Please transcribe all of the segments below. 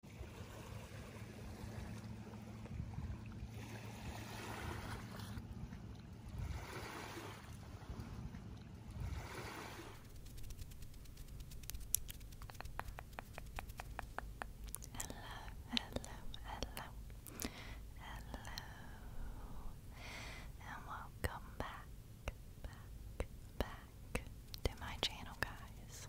Hello, hello, hello, hello, and welcome back, back, back to my channel, guys.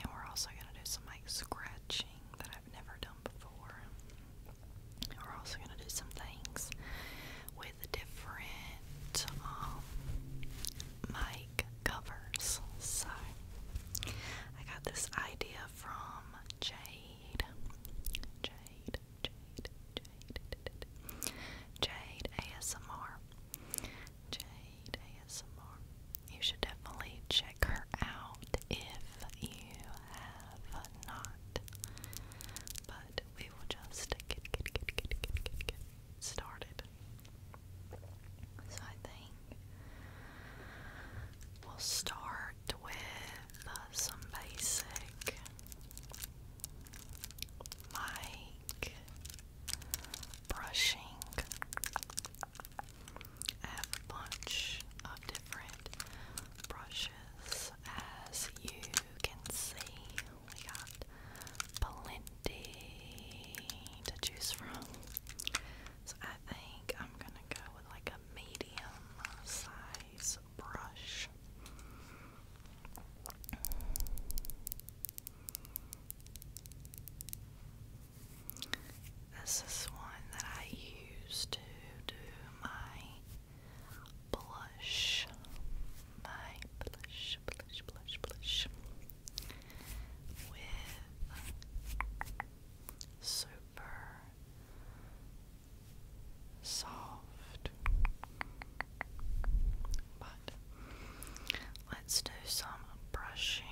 and we're also going to do some like scratching that I've never done before. We're also going to do some things with different um, mic covers. So I got this idea from Jade, Jade, Jade, Jade, Jade ASMR. Jade ASMR. You should definitely check her out if you have not. But we will just get, started. So I think we'll start with some basic mic brushing. I a bunch of different brushes as you can see. We got plenty to choose from. So I think I'm gonna go with like a medium size brush. This is one that I use to do my blush. My blush, blush, blush, blush. With super soft. But let's do some brushing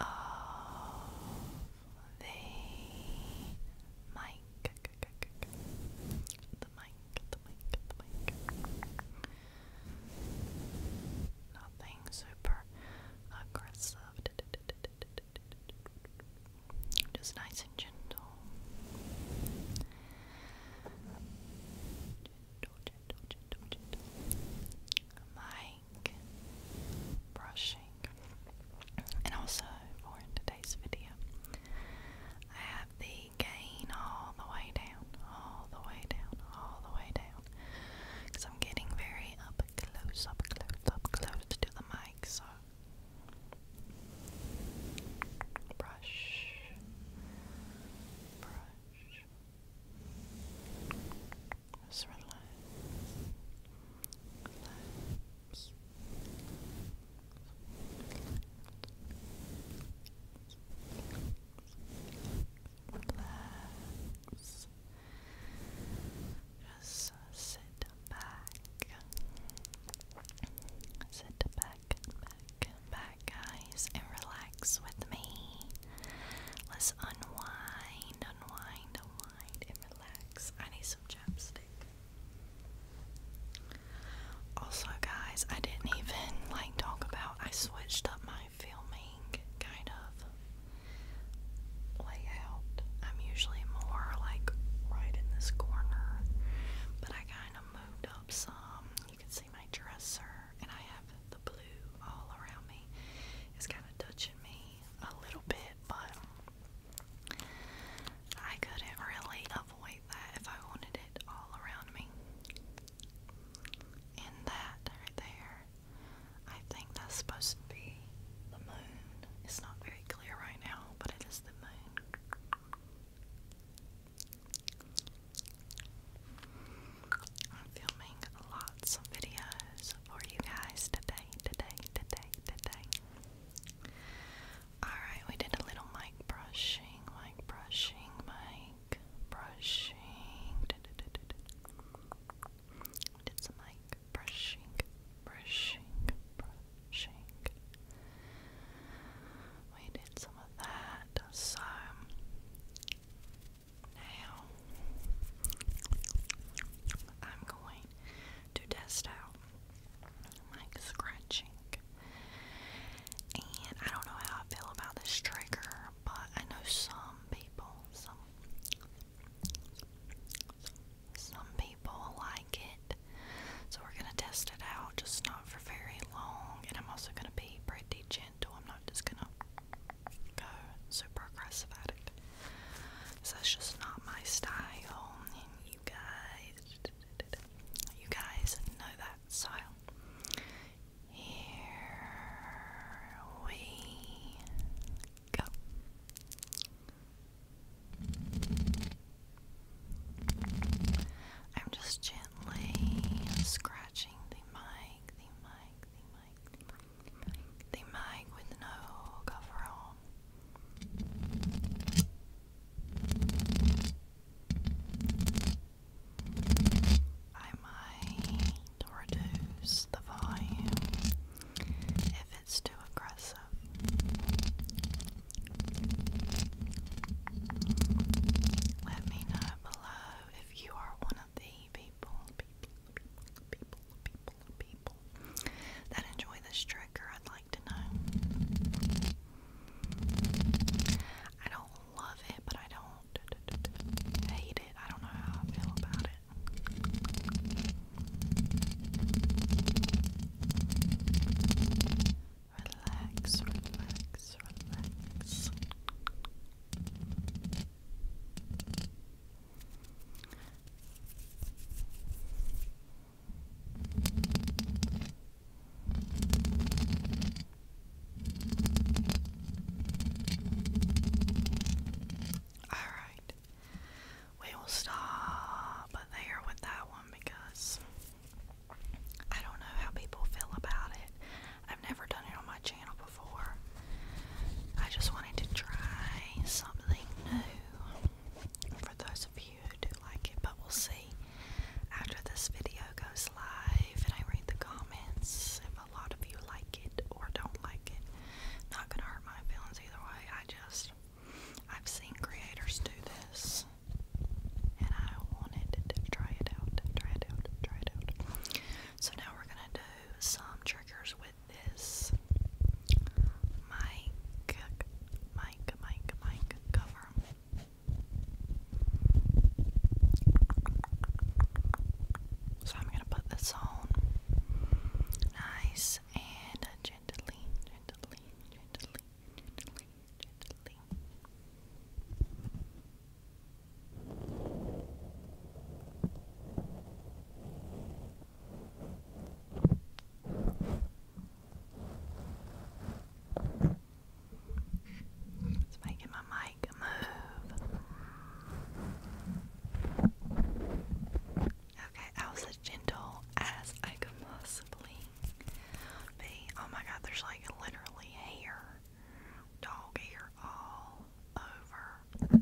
of the mic. The mic, the mic, Nothing super aggressive. Just nice and gentle, gentle, brushing. And also for today's video, I have the gain all the way down, all the way down, all the way down. Because I'm getting very up close, up close, up close to the mic, so. Brush, brush, just relax. Relax. Relax. Just sit back. Sit back, back, back, guys, and relax with me. Let's unwind, unwind, unwind, and relax. I need some chapstick. Also, guys, I didn't even like talk about. I switched up my filming kind of layout. I'm usually more like right in this corner, but I kind of moved up some. You can see my dresser, and I have the blue all around me. It's kind of touchy me a little bit, but I couldn't really avoid that if I wanted it all around me. And that right there, I think that's supposed to be the moon. It's not very clear right now, but it is the moon. I'm filming lots of videos for you guys today, today, today, today. Alright, we did a little mic brushing, mic brushing, mic brushing. did some mic brushing, brushing, brushing. We did some of that. So now, I'm going to test out my scratching. And I don't know how I feel about this trigger, but I know some people, some some people like it. So we're gonna test it out, just not for very long. And I'm also gonna be pretty gentle. I'm not just gonna go super aggressive at it. So that's just not my style, you guys, you guys know that style. Here we go. I'm just gently scratching the mic, the mic, the the mag with no cover on. I might reduce the volume if it's too aggressive. Let me know below if you are one of the people, that enjoy this trigger. I'd like to know. I don't love it, but I don't hate it. I don't know how I feel about it. Relax, relax, relax. Alright, we will stop there with that one because I don't know how people feel about it. I've never done it on my channel before. I just wanted to try something new for those of you who do like it, but we'll see after this video goes live and I read the comments if a lot of you like it or don't like it. Not gonna hurt my feelings either way. I just I've seen creators do this and I wanted to try it out, try it out, try it out. So now we're gonna do some triggers this mic, mic, mic, mic cover. So I'm gonna put this on nice and gently, gently, gently, gently, gently. It's making my mic move. Okay, I was as gentle as I could possibly be. Oh my god, there's like literally hair, dog hair all over the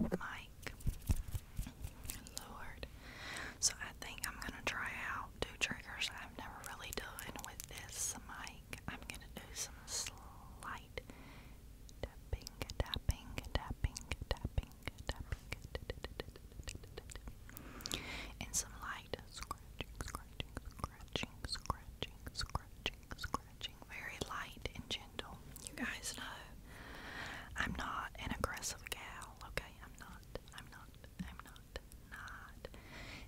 mic. Lord. So I think I'm gonna try out two triggers I've never really done with this mic. I'm gonna do some slight tapping, tapping, tapping, tapping, tapping, and some light scratching, scratching, scratching, scratching, scratching, scratching, very light engine. Kendall. You guys know I'm not an aggressive gal, okay? I'm not. I'm not. I'm not. Not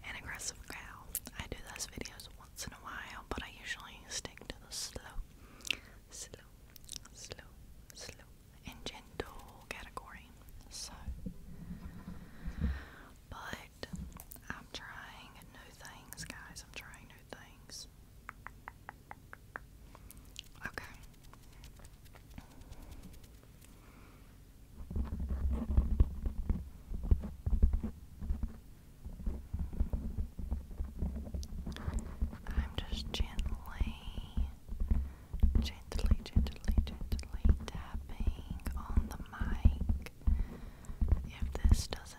an aggressive gal. I do those videos once in a while, but I usually stick to the slow, slow, slow, slow, and gentle category. So, but I'm trying new things, guys. I'm trying new things. Okay. I'm just gently, gently, gently, gently tapping on the mic. If this doesn't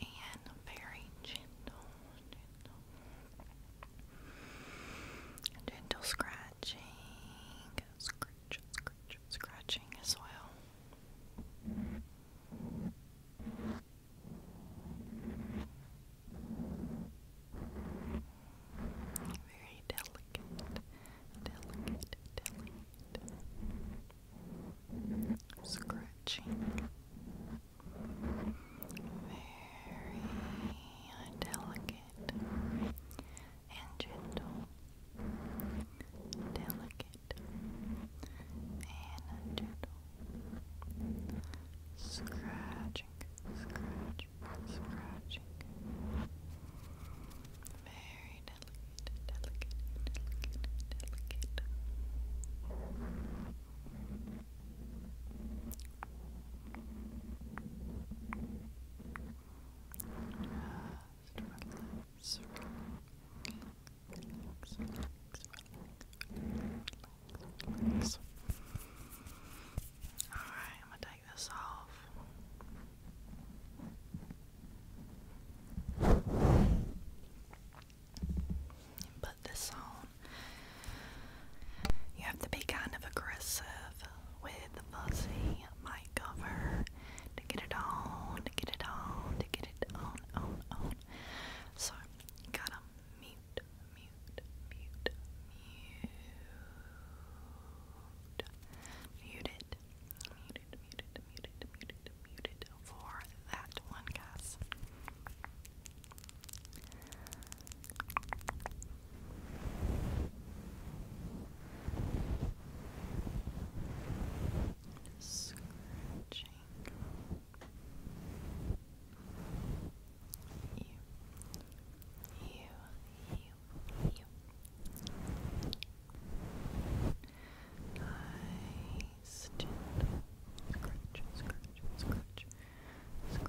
And very gentle, gentle, scratching scratching as well. Very delicate, delicate, delicate scratching. Very delicate, and gentle, delicate and gentle, scratching, scratching, scratching, very delicate, delicate, delicate, delicate. Alright, I'm gonna take this off. Put this on. You have to be kind of aggressive with the Fuzzy mic cover to get it on, to get it on, to get it on, on, on. So, gotta mute, mute, mute, mute, mute it, mute it, mute it, mute it, mute it for that one, guys. Scratching you, you, you, you. Nice, gentle. Scratch, scratch, scratch, scratch, scratch, scratch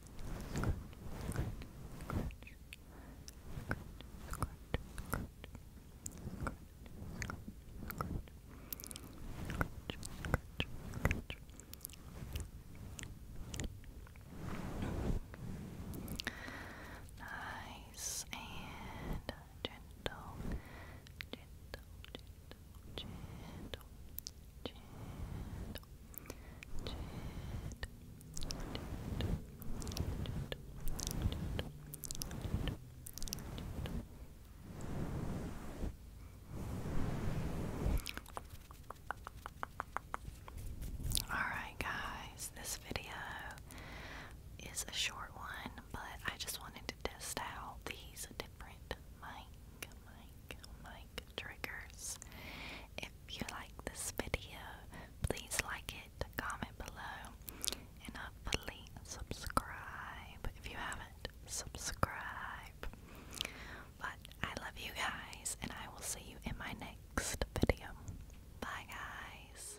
scratch, scratch, Nice and gentle, gentle, gentle, Alright, guys, this video is a short one, but I just wanted to test out these different mic Mike, Mike Triggers. If you like this video, please like it, comment below, and hopefully subscribe if you haven't. Subscribe. But I love you guys, and I will see you in my next video. Bye, guys.